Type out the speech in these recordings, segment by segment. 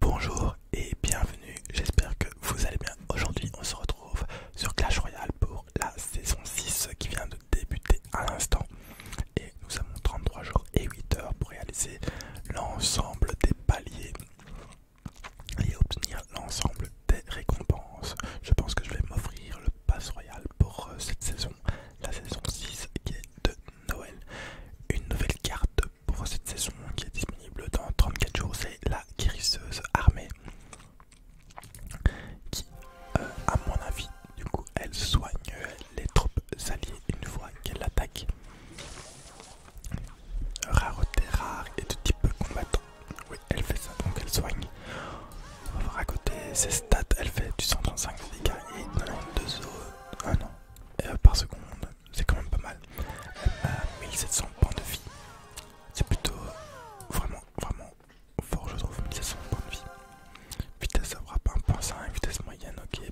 Bonjour et bienvenue, j'espère que vous allez bien. Aujourd'hui on se retrouve sur Clash Royale pour la saison 6 qui vient de débuter à l'instant. Et nous avons 33 jours et 8 heures pour réaliser l'ensemble des paliers et obtenir l'ensemble des récompenses. Je pense que je vais m'offrir le pass royal pour euh, cette saison, la saison 6 qui est de Noël. Une nouvelle carte pour cette saison qui est disponible dans 34 jours, c'est la guérisseuse armée qui, euh, à mon avis, du coup, elle soigne les troupes alliées une fois qu'elle attaque. Rareté rare et de type combattant. Oui, elle fait ça, donc elle soigne. On va voir à côté ses stats, elle fait du 135 dégâts et 92 ah non, par seconde c'est quand même pas mal. Elle a 1700 points de vie. C'est plutôt euh, vraiment, vraiment fort, je trouve. 1700 points de vie. Vitesse à frappe 1.5, vitesse moyenne, ok.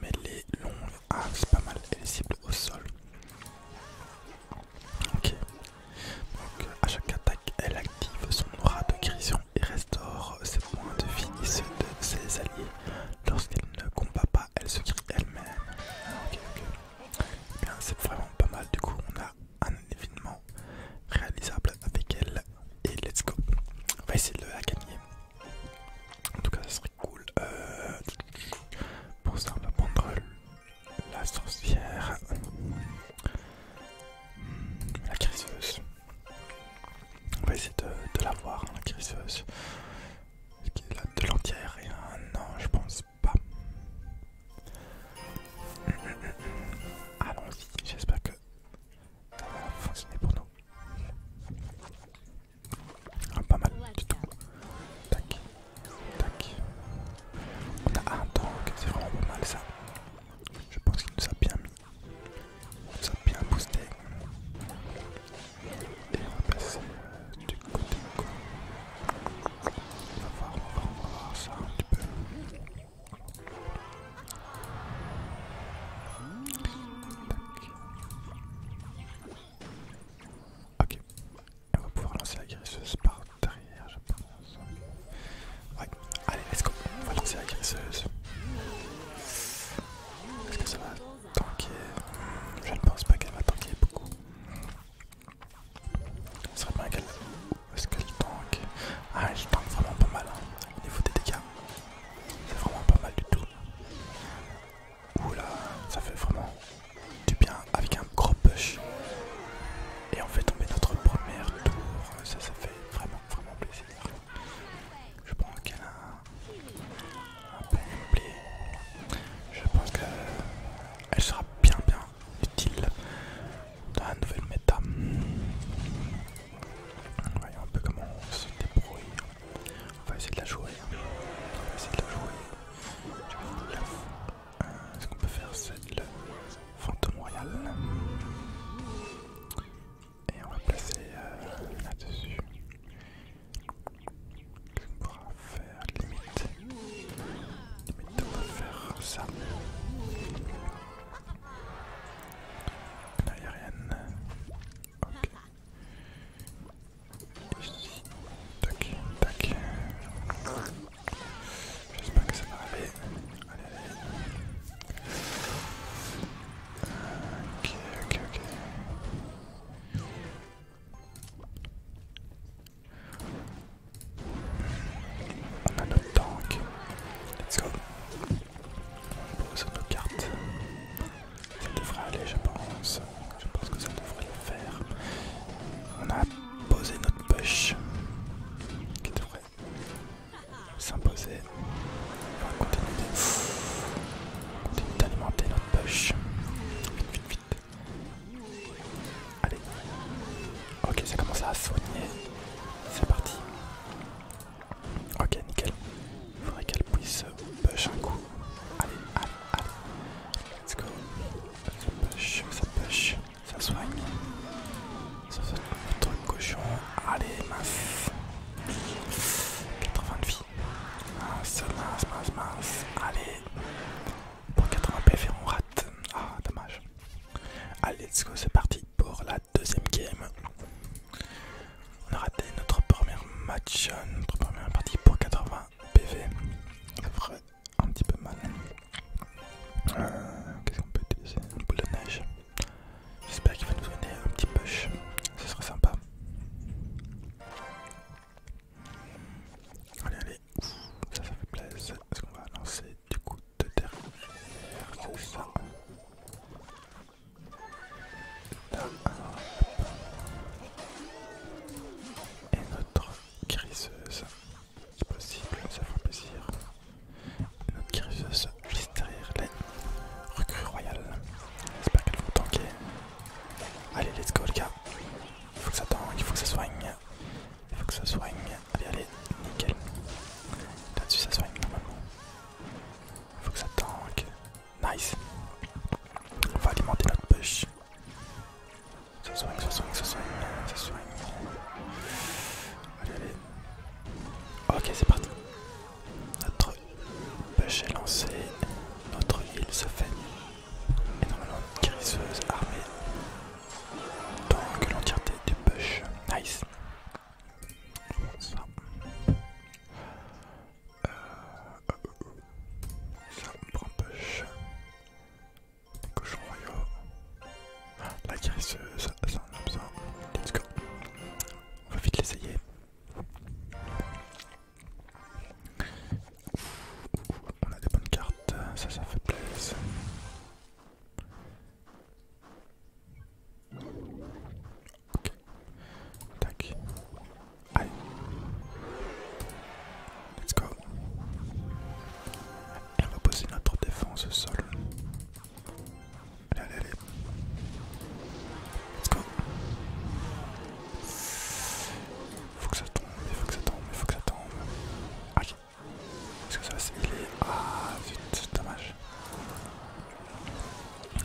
Mais les longues, ah, c'est pas mal. elle est cible au sol. Ok. Donc, euh, à chaque attaque, elle active son aura de guérison et restaure ses points de vie et ceux de ses alliés lorsqu'elle ne combat pas, elle se crie elle-même. Ah, eh c'est vraiment pas mal. Du coup, on a un événement réalisable avec elle. Et let's go. On va essayer de la gagner. En tout cas, ça serait cool. Euh, pour ça, on va prendre la sorcière, la criseuse. On va essayer de, la voir, hein, la crisseuse. Est-ce qu'il y a de l'entière Non, je pense pas. Mm, mm, mm, Allons-y, j'espère que ça va fonctionner pour nous. Ah, pas mal du tout. Tac, tac. On a c'est vraiment pas mal ça. Je pense qu'il nous a bien mis ça a bien boosté. Et on va passer euh, du côté de On va voir, on va voir, ça un petit peu. Ok. On va pouvoir lancer la guérisseuse par derrière, je pense. Ouais, allez, let's go. On va lancer la guérisseuse. Est-ce que ça va tanker. Je ne pense pas qu'elle va tanker beaucoup. serait bien qu'elle. Est-ce qu'elle tank Ah, elle tank vraiment pas mal hein. au niveau des dégâts. C'est vraiment pas mal du tout. Oula, ça fait vraiment du bien avec un gros push. Et on fait tomber notre premier tour. Ça, ça fait vraiment, vraiment plaisir. Je prends un a je pense qu'elle sera bien bien utile dans la nouvelle méta. Voyons un peu comment on se débrouille. On va essayer de la jouer. On de la jouer. Euh, ce qu'on peut faire c'est le fantôme royal. Et on va placer euh, là-dessus. On pourra faire limite. Limite on va faire ça. Là il n'y a rien. Ok. Ici. Tac, tac. J'espère que ça va aller. Allez, allez. Ok, ok, ok. On a notre tank. Let's go. On pose notre carte. Ça devrait aller, je pense. Je pense que ça devrait le faire. On a posé notre push qui devrait s'imposer. On va continuer d'alimenter notre push Vite, vite, vite. Allez. Ok, ça commence à soigner. C'est parti. Ok, nickel. il Faudrait qu'elle puisse push un coup. Allez, allez, allez. Let's go. Ça push, ça push, ça soigne. Ça soigne cochon. Allez, mince. 80 de vie. Mince, mince, mince, mince. Allez. Pour 80 PV, on rate. Ah, dommage. Allez, let's go, c'est parti pour la deuxième game. On a raté notre première match, euh, notre première partie pour 80 PV. Ça ferait un petit peu mal. Euh, qu'est-ce qu'on peut utiliser Une boule de neige. J'espère qu'il va nous donner un petit push, ce serait sympa. Allez, allez, ça, ça fait plaisir. Est-ce qu'on va lancer du coup de terre C'est ça. Et notre griseuse, C'est possible, ça fera plaisir. Notre guérisseuse juste derrière les recrues royales. J'espère qu'elles vont tanker. Allez, let's go, les gars. Il faut que ça tank, il faut que ça soigne. Il faut que ça soigne. Allez, allez, nickel. Là-dessus, ça soigne normalement. Il faut que ça tank. Nice. On va alimenter notre push. Ça soigne, ça soigne, ça soigne, ça soigne. Allez, allez, Ok, c'est parti. Notre pêche est lancé, Notre île se fait énormément de guérisseuse armée. Donc l'entièreté du push. Nice. Ça. Euh, ça, prend push. Des cochons la guérisseuse, ça, ça en a besoin. Let's go. On va vite l'essayer. On a des bonnes cartes, ça, ça fait plaisir. Ok. Tac. Allez. Let's go. Et on va poser notre défense au sol. Allez, allez, allez. Let's go. Faut que ça tombe, il faut que ça tombe, il faut que ça tombe. Ok. Est-ce que ça va se Ah, c'est dommage.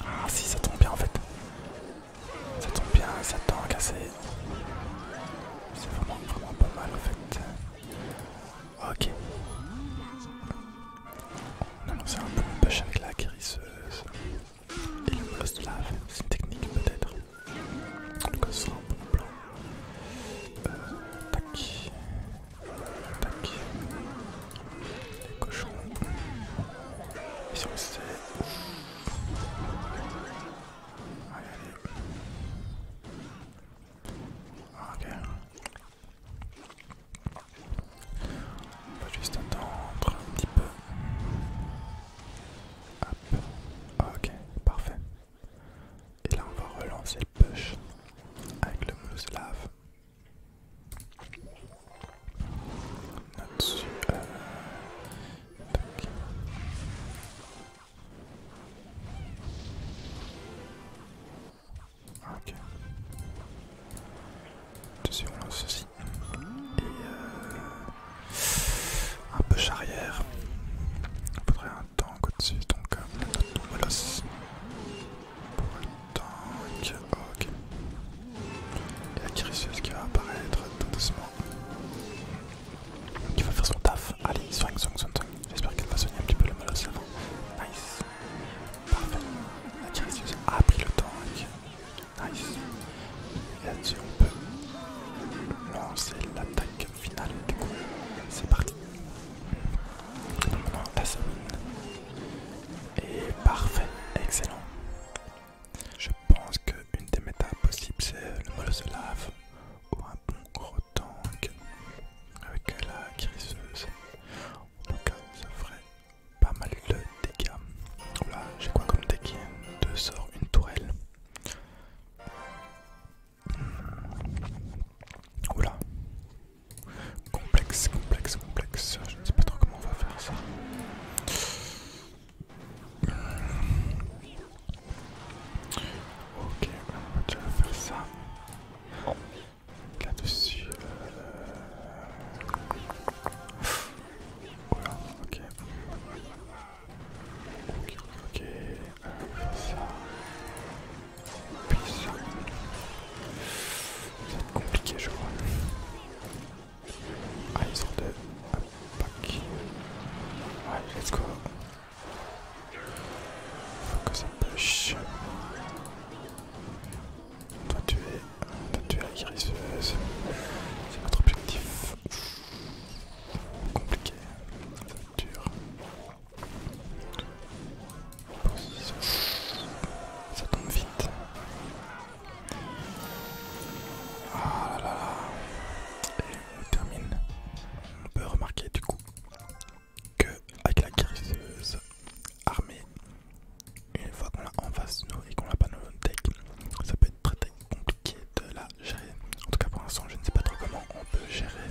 Ah, si, ça tombe bien en fait. Ça tombe bien, ça à cassé. C'est vraiment, vraiment pas mal en fait. Ok. On a lancé un boom push avec la guérisseuse et le boss de lave, c'est une technique peut-être. En tout ce sera un bon plan. Euh, tac, tac, les cochons. ils sont restés. Allez, allez. Ah, ok, on va juste attendre un petit peu. Ah, ok, parfait. Et là on va relancer le push avec le mousse lave. Ok. on lance ceci. Et euh, un peu charrière On faudrait un tank au-dessus, donc euh, notre molosse. tank, ok. Et la qui va apparaître tout doucement. Qui va faire son taf. Allez, soigne, Song son. J'espère qu'elle va soigner un petit peu le mal Nice. Parfait. La Kinesis a pris le tank. Nice. Et là-dessus, on peut lancer l'attaque finale. Du coup, c'est parti. maintenant, la semaine Et parfait. Excellent. Je pense qu'une des métas possibles, c'est le lave. ou un bon gros donc, avec la guérisseuse. cas, ça ferait pas mal de dégâts. voilà j'ai quoi comme dégâts Deux sorts, une tourelle. voilà hmm. complexe, complexe, complexe. Je ne sais pas trop comment on va faire ça. Hmm. Ok, on va faire ça. Là-dessus. Euh... ok. Ok, ok. ça. Puis ça. compliqué, je crois. Ah, ils deux. let's go. Faut que ça push. On doit tuer, la guérisseuse. C'est notre objectif. Compliqué, dur. Ça tombe vite. Ah là là là. Et on termine. On peut remarquer du coup que avec la guérisseuse armée, une fois qu'on l'a en face de nous et qu'on l'a pas nos notre deck, ça peut être très, compliqué de la gérer. En tout cas pour l'instant je ne sais pas trop comment on peut gérer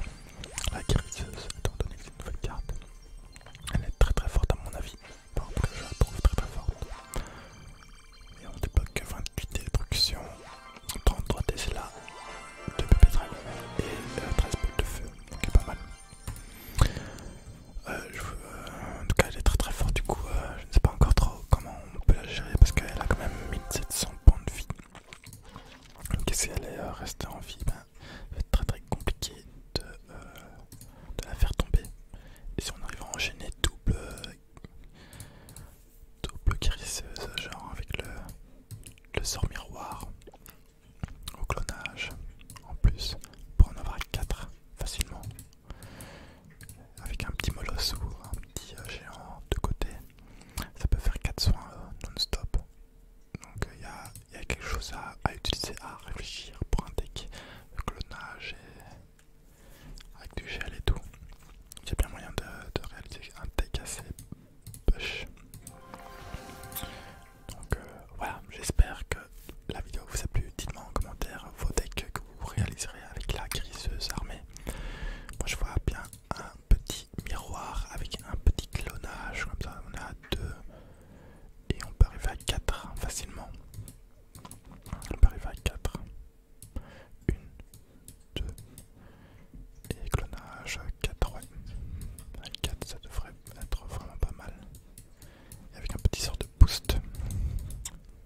la guérisseuse étant donné que c'est une nouvelle carte. Elle est très très forte à mon avis. Par contre je la trouve très très forte. Et on pas que 28 destruction. 33 cela, 2 de dragons et 13 euh, boules de feu, donc c'est pas mal. Euh, euh, en tout cas, elle est très très forte, du coup, je ne sais pas encore trop comment on peut la gérer parce qu'elle a quand même 1700 points de vie. Donc, si elle est restée en vie, ben, ça va être très très compliqué de, la faire tomber. Et si on arrive à enchaîner double double crisseuse, genre avec le, sort miroir au clonage en plus pour en avoir 4 facilement avec un petit molosse ou un petit euh, géant de côté ça peut faire 4 soins euh, non-stop donc il euh, y, a quelque chose à, utiliser à réfléchir pour un deck le clonage et avec du gel et tout J'ai bien moyen de réaliser un deck assez donc euh, voilà, j'espère que la vidéo vous a plu. Dites-moi en commentaire vos decks que vous réaliserez avec la griseuse armée. Moi je vois bien un petit miroir avec un petit clonage, comme ça on est à et on peut arriver à 4 facilement. On peut arriver à 4. Une. 2 et clonage 4 ça devrait être vraiment pas mal avec un petit sort de boost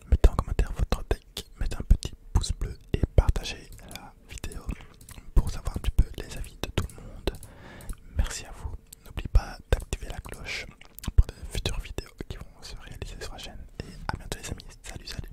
mettez en commentaire votre deck mettez un petit pouce bleu et partagez la vidéo pour savoir un petit peu les avis de tout le monde merci à vous n'oubliez pas d'activer la cloche pour de futures vidéos qui vont se réaliser sur la chaîne et à bientôt les amis salut salut